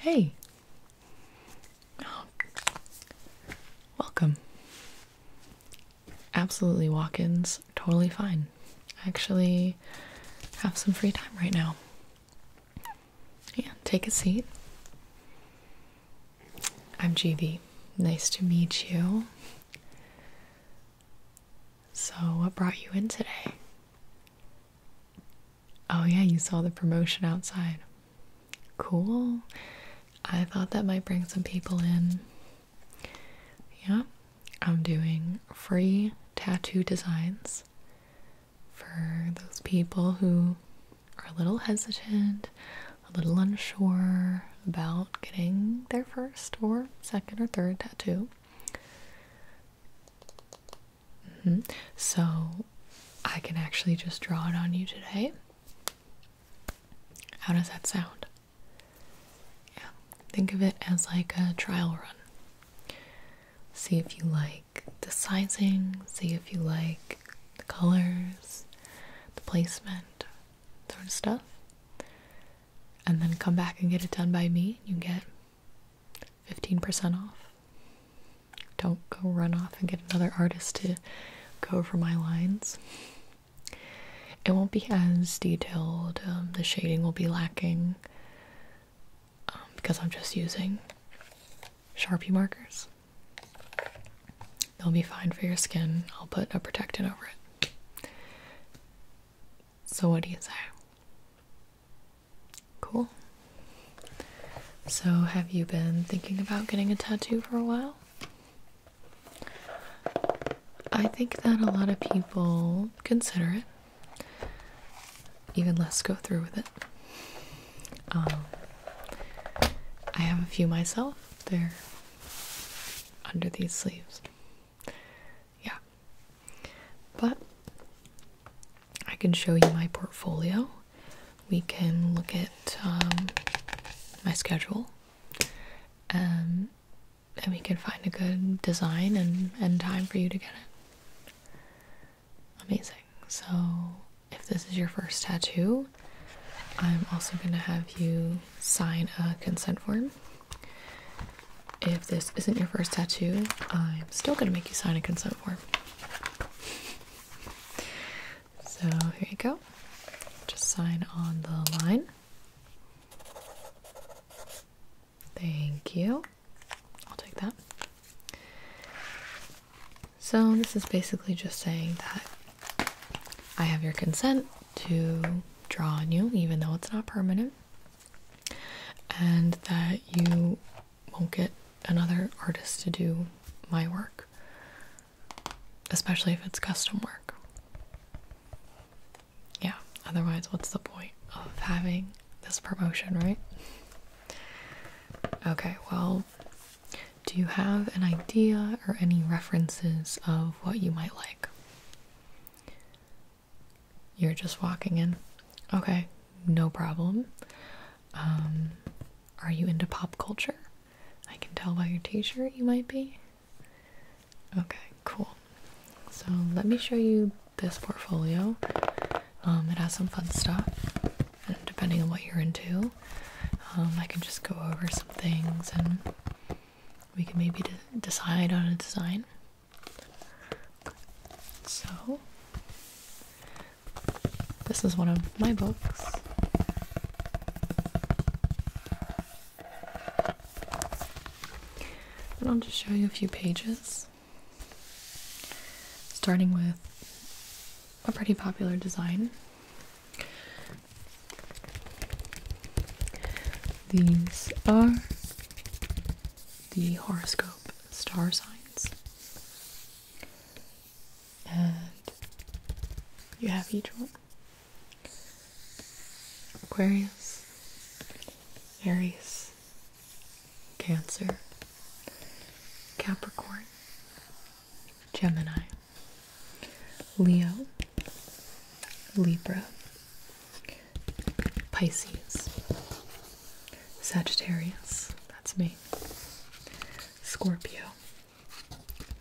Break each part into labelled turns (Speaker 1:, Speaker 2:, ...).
Speaker 1: Hey. Welcome. Absolutely walk ins, totally fine. I actually have some free time right now. Yeah, take a seat. I'm GV. Nice to meet you. So, what brought you in today? Oh, yeah, you saw the promotion outside. Cool. I thought that might bring some people in. Yeah, I'm doing free tattoo designs for those people who are a little hesitant, a little unsure about getting their first or second or third tattoo. Mm-hmm. So I can actually just draw it on you today. How does that sound? Yeah, think of it as like a trial run. See if you like the sizing, see if you like the colors, the placement, sort of stuff. And then come back and get it done by me. You get 15% off. Don't go run off and get another artist to go over my lines. It won't be as detailed, um, the shading will be lacking um, because I'm just using Sharpie markers. They'll be fine for your skin. I'll put a protectant over it. So, what do you say? Cool. So, have you been thinking about getting a tattoo for a while? I think that a lot of people consider it, even less go through with it. Um, I have a few myself, they're under these sleeves yeah. But I can show you my portfolio. We can look at um, my schedule, um, and we can find a good design and, and time for you to get it. Amazing. So, if this is your first tattoo, I'm also going to have you sign a consent form. If this isn't your first tattoo, I'm still going to make you sign a consent form. So here you go. Just sign on the line. Thank you. I'll take that. So, this is basically just saying that I have your consent to draw on you, even though it's not permanent and that you won't get another artist to do my work, especially if it's custom work. Yeah, otherwise, what's the point of having this promotion, right? Okay, well, do you have an idea or any references of what you might like? You're just walking in. Okay, no problem. Um, are you into pop culture? I can tell by your t shirt you might be. Okay, cool. So let me show you this portfolio. Um, it has some fun stuff, and depending on what you're into, um, I can just go over some things and we can maybe decide on a design. So, this is one of my books. And I'll just show you a few pages. Starting with a pretty popular design. These are the horoscope star signs. And you have each one Aquarius, Aries, Cancer, Capricorn, Gemini, Leo, Libra, Pisces, Sagittarius, that's me, Scorpio,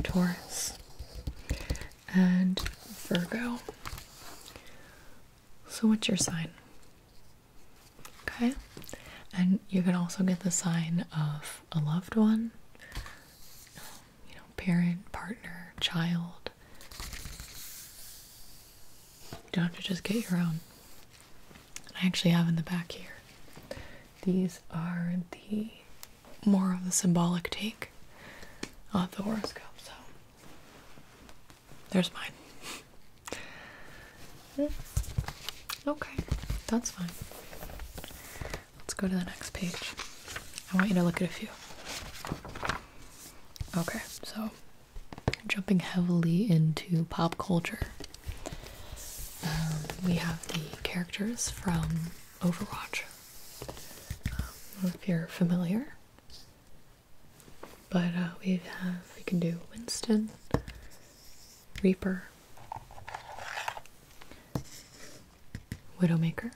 Speaker 1: Taurus, and Virgo. So, what's your sign? Okay, and you can also get the sign of a loved one, you know, parent, partner, child. You don't have to just get your own. I actually have in the back here. These are the more of the symbolic take of the horoscope, so there's mine. okay, that's fine. Let's go to the next page. I want you to look at a few. Okay, so jumping heavily into pop culture. Um, we have the characters from Overwatch. Um, if you're familiar, but uh, we have we can do Winston, Reaper, Widowmaker,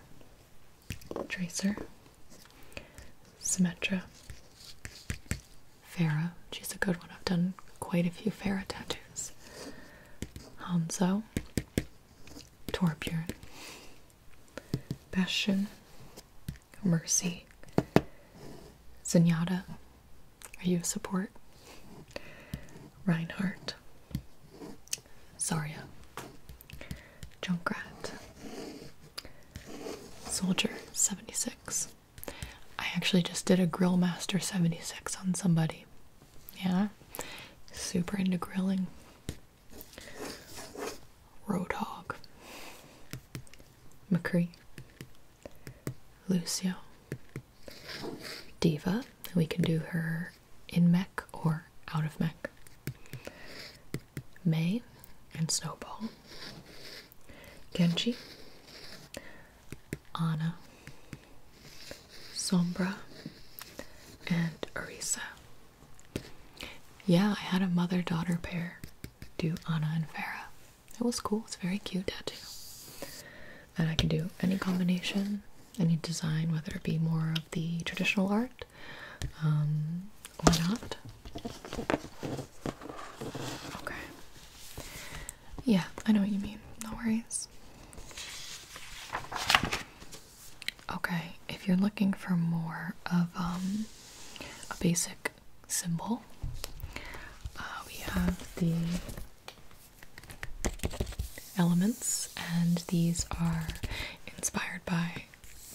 Speaker 1: Tracer, Symmetra. Farah. She's a good one. I've done quite a few Farah tattoos. Hanzo. Torbjorn. Bastion. Mercy. Zenyatta. Are you a support? Reinhardt. Zarya. Junkrat. Soldier 76. I actually just did a Grillmaster 76 on somebody. Yeah? Super into grilling. Roadhog. McCree. Lucio. Diva. We can do her in mech or out of mech. May and Snowball, Genji, Anna, Sombra, and Arisa. Yeah, I had a mother daughter pair do Anna and Farah. It was cool, it's very cute tattoo. And I can do any combination, any design, whether it be more of the traditional art. Um, why not? Okay. Yeah, I know what you mean. No worries. Okay, if you're looking for more of um, a basic symbol, uh, we have the elements, and these are inspired by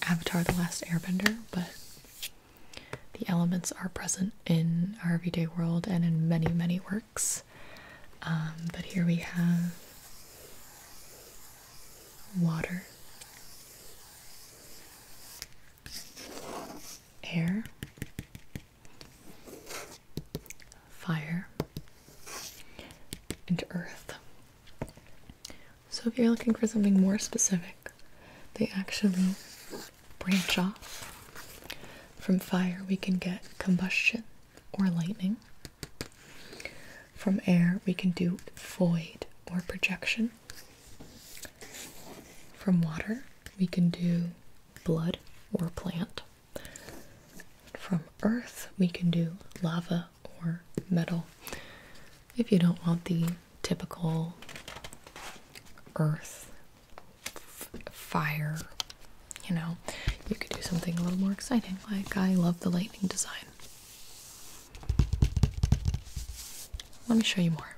Speaker 1: Avatar The Last Airbender, but the elements are present in our everyday world and in many, many works. Um, but here we have water, air, fire, and earth. So if you're looking for something more specific, they actually branch off. From fire, we can get combustion or lightning. From air, we can do void or projection. From water, we can do blood or plant. From earth, we can do lava or metal if you don't want the typical earth fire, you know, you could do something a little more exciting. Like, I love the lightning design. Let me show you more.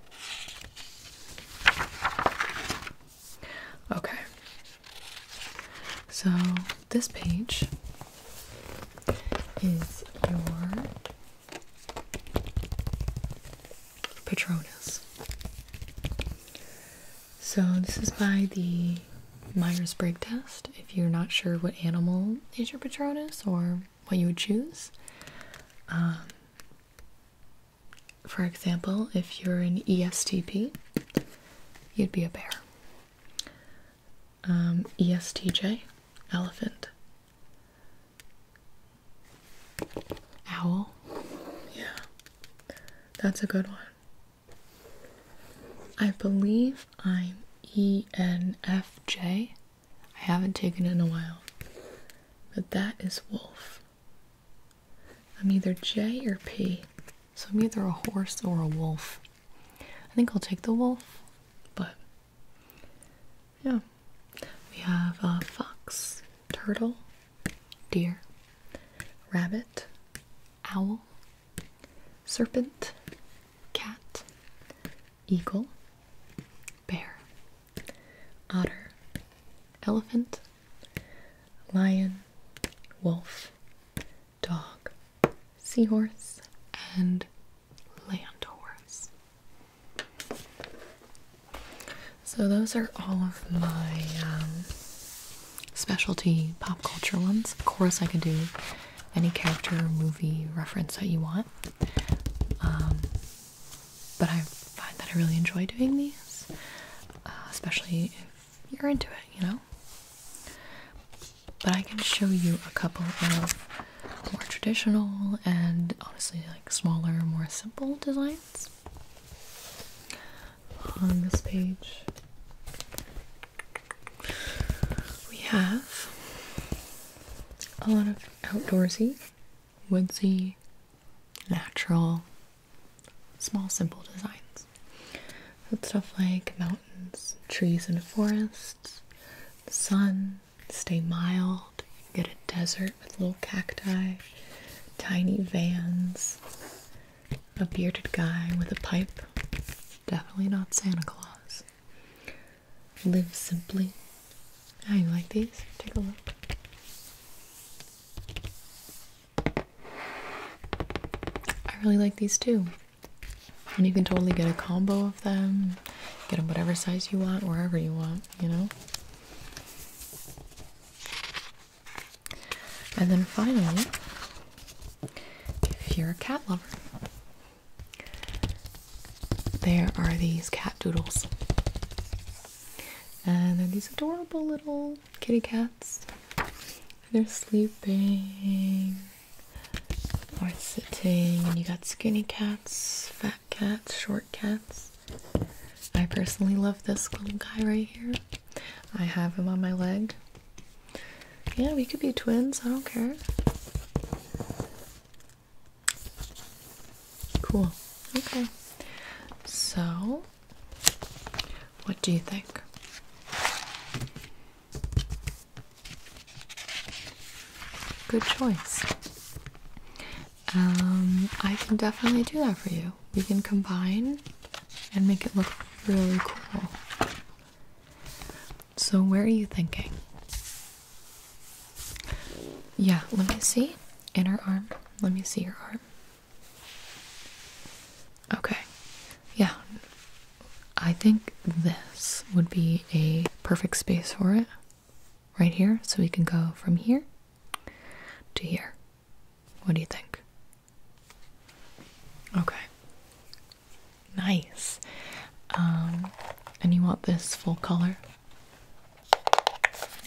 Speaker 1: Okay. So, this page is your Patronus. So, this is by the Myers Briggs test. If you're not sure what animal is your Patronus or what you would choose, um, for example, if you're an ESTP, you'd be a bear. Um, ESTJ, elephant. Owl. Yeah. That's a good one. I believe I'm ENFJ. I haven't taken it in a while. But that is wolf. I'm either J or P. So I'm either a horse or a wolf. I think I'll take the wolf, but yeah. We have a fox, turtle, deer, rabbit, owl, serpent, cat, eagle, bear, otter, elephant, lion, wolf, dog, seahorse, and land horse. So, those are all of my um, specialty pop culture ones. Of course, I can do any character movie reference that you want. Um, but I find that I really enjoy doing these, uh, especially if you're into it, you know? But I can show you a couple of more traditional and honestly like smaller, more simple designs. On this page, we have a lot of outdoorsy, woodsy, natural, small, simple designs. With stuff like mountains, trees, and forests, sun, stay mild. get a desert with little cacti, tiny vans, a bearded guy with a pipe. Definitely not Santa Claus. Live simply. How oh, you like these? Take a look. I really like these too. And you can totally get a combo of them. Get them whatever size you want, wherever you want you know? And then finally, if you're a cat lover, there are these cat doodles. And then these adorable little kitty cats. They're sleeping or sitting, and you got skinny cats, fat cats, short cats. I personally love this little guy right here. I have him on my leg. Yeah, we could be twins, I don't care. Cool. Okay. So, what do you think? Good choice um, I can definitely do that for you. We can combine and make it look really cool. So, where are you thinking? Yeah, let me see. Inner arm. Let me see your arm. Okay. Yeah. I think this would be a perfect space for it right here, so we can go from here to here. What do you think? Okay. Nice. Um, and you want this full color?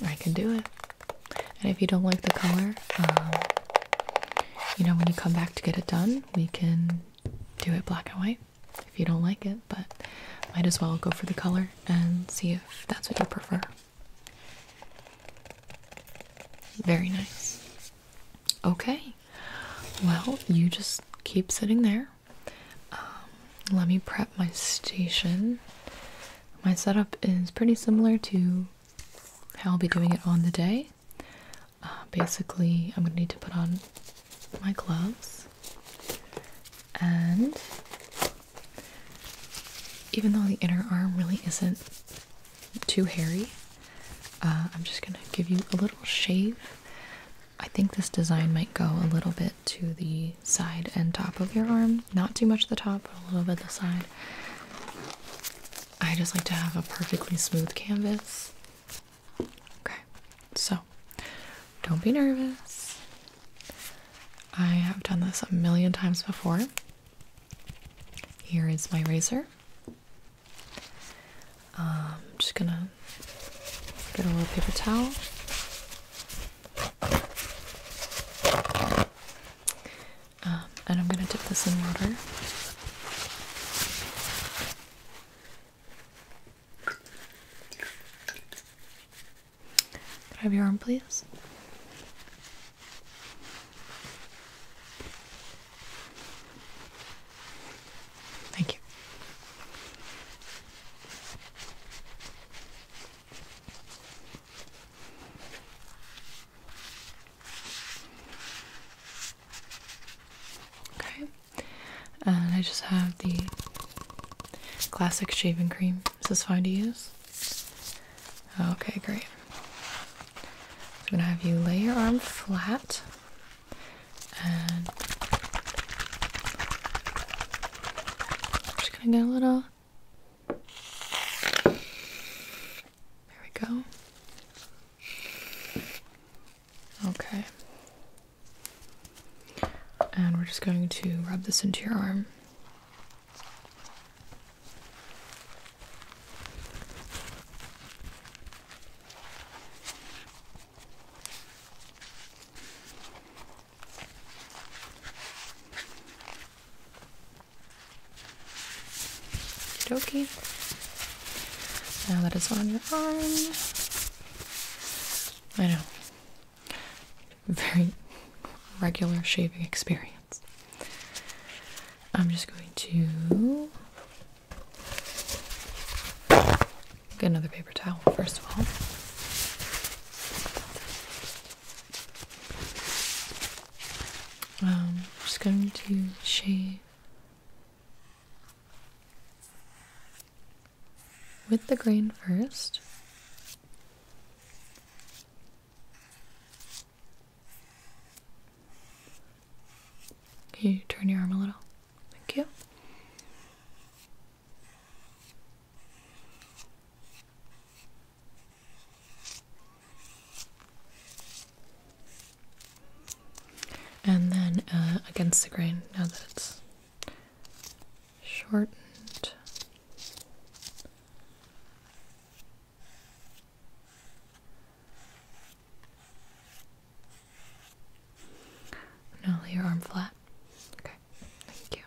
Speaker 1: I can do it. And if you don't like the color, um, you know, when you come back to get it done, we can do it black and white if you don't like it, but might as well go for the color and see if that's what you prefer. Very nice. Okay, well, you just keep sitting there. Um, let me prep my station. My setup is pretty similar to how I'll be doing it on the day. Uh, basically, I'm going to need to put on my gloves and even though the inner arm really isn't too hairy, uh, I'm just gonna give you a little shave. I think this design might go a little bit to the side and top of your arm. Not too much at the top, but a little bit the side. I just like to have a perfectly smooth canvas. Okay, so don't be nervous. I have done this a million times before. Here is my razor. I'm um, just gonna get a little paper towel. Um, and I'm gonna dip this in water. Could I have your arm, please? Thank you. Okay and uh, I just have the classic shaving cream. Is this fine to use? Okay, great. I'm gonna have you lay your arm flat and just gonna get a little. There we go. Okay. And we're just going to rub this into your arm. Okay. Now that it's on your arm. I know very regular shaving experience. I'm just going to get another paper towel first of all. Um, I'm just going to shave with the grain first. Can you turn your arm a little? Thank you. And then uh, against the grain now that it's shortened. Now your arm flat. Okay, thank you.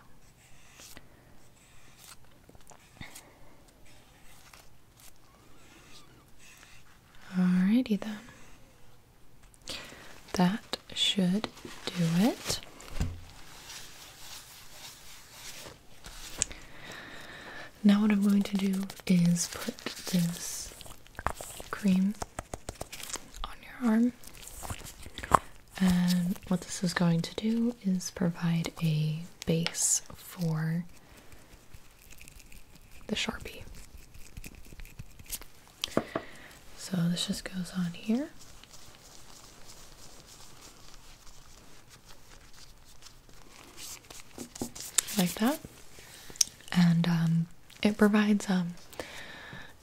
Speaker 1: Alrighty then. That should do it. Now, what I'm going to do is put this cream on your arm, and what this is going to do is provide a base for the Sharpie. So this just goes on here. Like that. And um, it provides um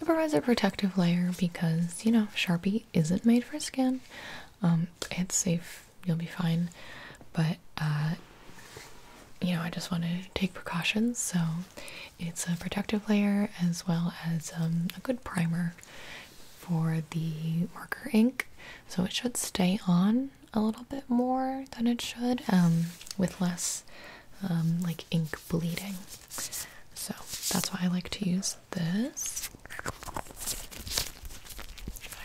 Speaker 1: it provides a protective layer because you know Sharpie isn't made for skin. Um, it's safe, you'll be fine. But uh, you know, I just want to take precautions, so it's a protective layer as well as um, a good primer for the marker ink, so it should stay on a little bit more than it should um, with less um, like ink bleeding. So that's why I like to use this. I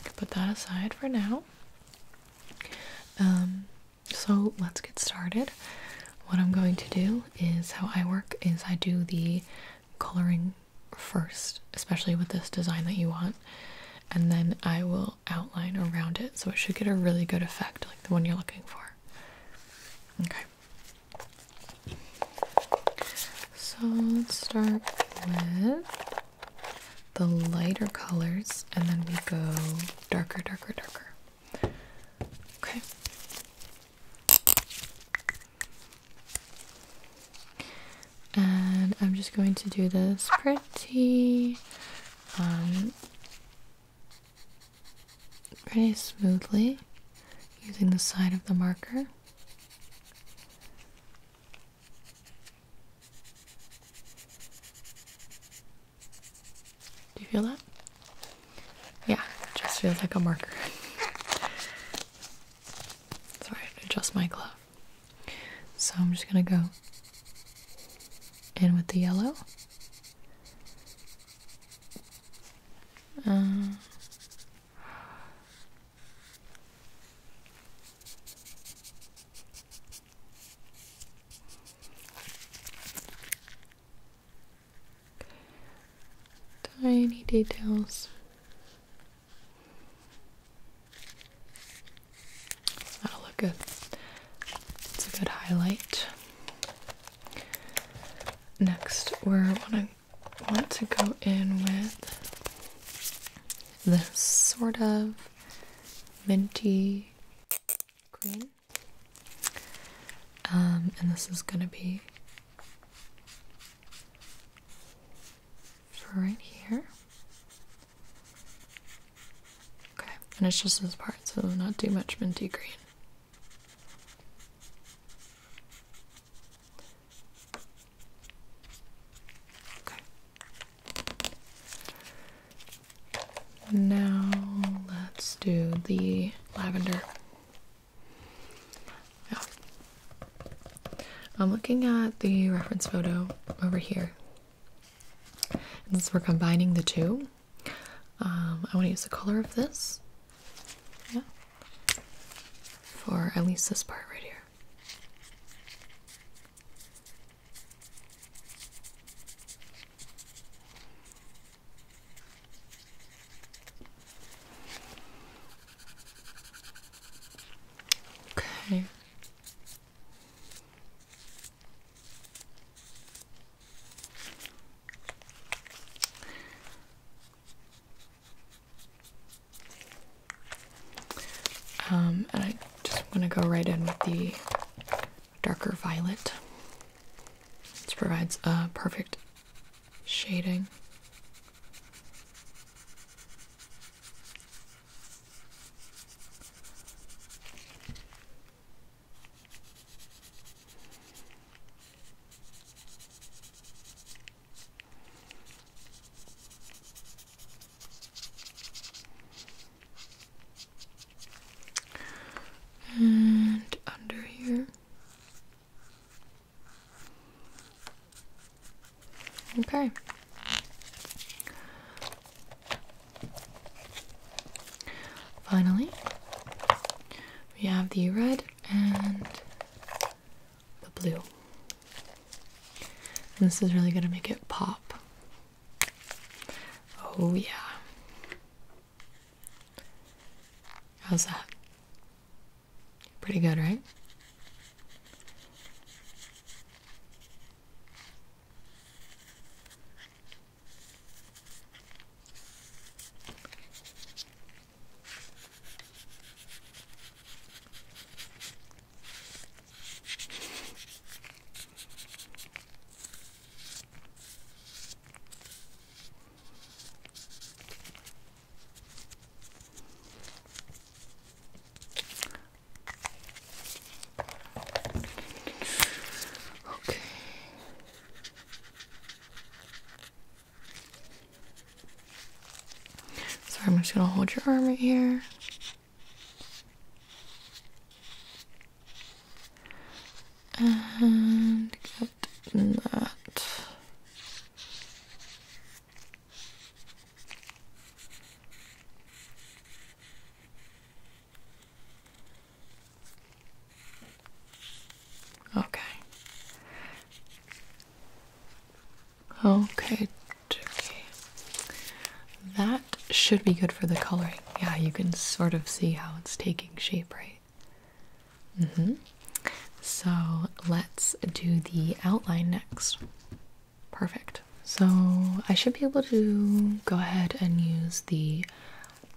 Speaker 1: can put that aside for now. so let's get started. What I'm going to do is how I work is I do the coloring first, especially with this design that you want, and then I will outline around it so it should get a really good effect like the one you're looking for. Okay. So let's start with the lighter colors and then we go darker, darker, darker. Okay. And I'm just going to do this pretty, um, pretty smoothly using the side of the marker. Do you feel that? yeah, just feels like a marker. Sorry, I have to adjust my glove. So I'm just gonna go in with the yellow. Uh, Tiny details. That'll look good. It's a good highlight. Next, we're wanna want to go in with this sort of minty green. Um, and this is gonna be right here. Okay, and it's just this part, so not too much minty green. Okay. Now let's do the lavender. I'm looking at the reference photo over here. since we're combining the two, um, I want to use the color of this. Yeah. For at least this part right here. Okay. Um, and I just want to go right in with the darker violet. which provides a perfect shading. And under here, Okay. Finally, we have the red and the blue. this is really going to make it pop. Oh, yeah. How's that? Pretty good, right? Okay. Sorry, I'm just gonna hold your arm right here. And that. Okay. Okay, that should be good for the coloring. Yeah, you can sort of see how it's taking shape, right? Mm -hmm. So let's do the outline next. Perfect. So I should be able to go ahead and use the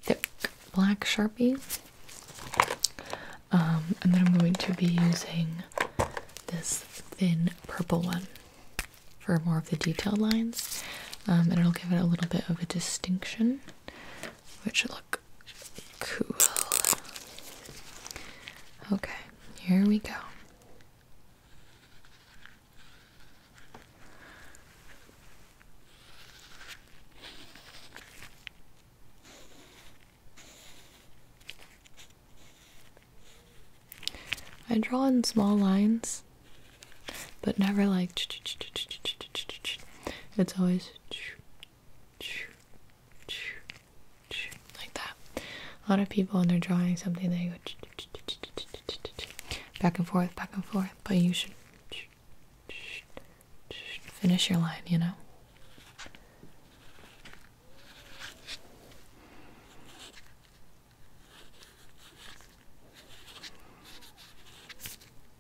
Speaker 1: thick black sharpie. Um, and then I'm going to be using this thin purple one for more of the detailed lines. Um, and it'll give it a little bit of a distinction which look cool. Okay, here we go. I draw in small lines, but never like. It's always like that. A lot of people, when they're drawing something, they go back and forth, back and forth. But you should finish your line, you know.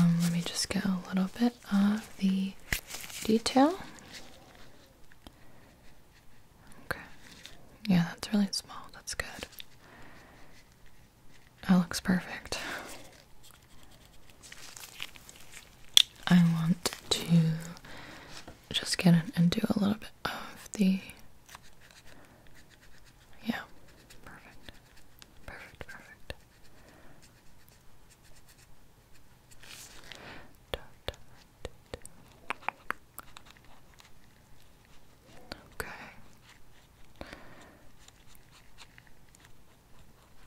Speaker 1: Um, let me just get a little bit of the detail. Okay. Yeah, that's really small. That's good. That looks perfect. I want to just get in and do a little bit of the. Yeah, perfect. Perfect, perfect. Okay.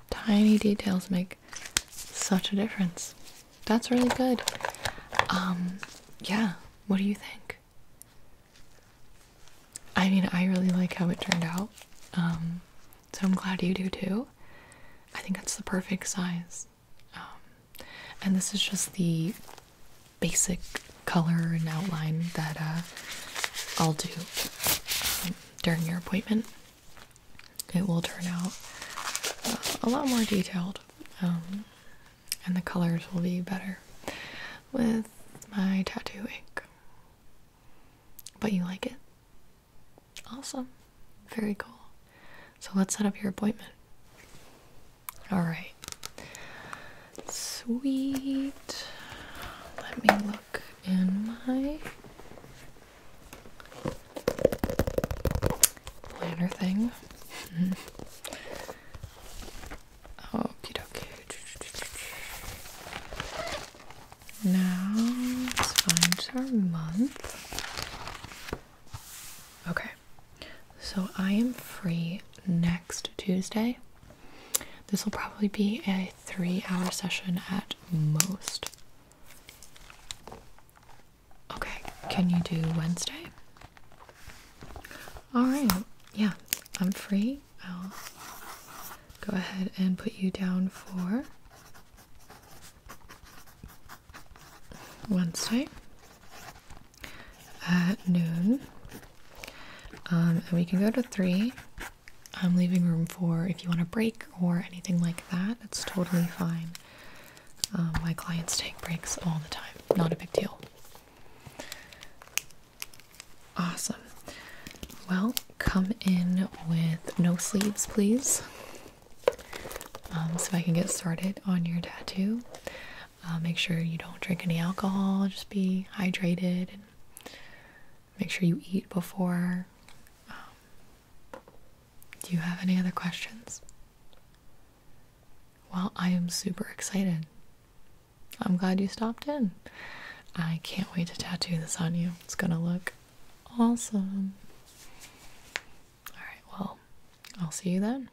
Speaker 1: Tiny details make such a difference. That's really good. Um, yeah. What do you think? I mean, I really like how it turned out. Um, so I'm glad you do too. I think it's the perfect size. Um, and this is just the basic color and outline that uh, I'll do um, during your appointment. It will turn out uh, a lot more detailed, and the colors will be better with my tattoo ink. But you like it? Awesome. Very cool. So let's set up your appointment. Alright. Sweet. Let me look in my planner thing. Mm -hmm. Now let's find our month. Okay, so I am free next Tuesday. This will probably be a three hour session at most. Okay, can you do Wednesday? Alright, yeah, I'm free I'll go ahead and put you down for one Wednesday at noon. Um, and we can go to three. I'm leaving room for if you want a break or anything like that. That's totally fine. Um, my clients take breaks all the time. Not a big deal. Awesome. Well, come in with no sleeves, please, um, so I can get started on your tattoo. Uh, make sure you don't drink any alcohol, just be hydrated, and make sure you eat before. Um, do you have any other questions? Well, I am super excited. I'm glad you stopped in. I can't wait to tattoo this on you. It's gonna look awesome. Alright, well, I'll see you then.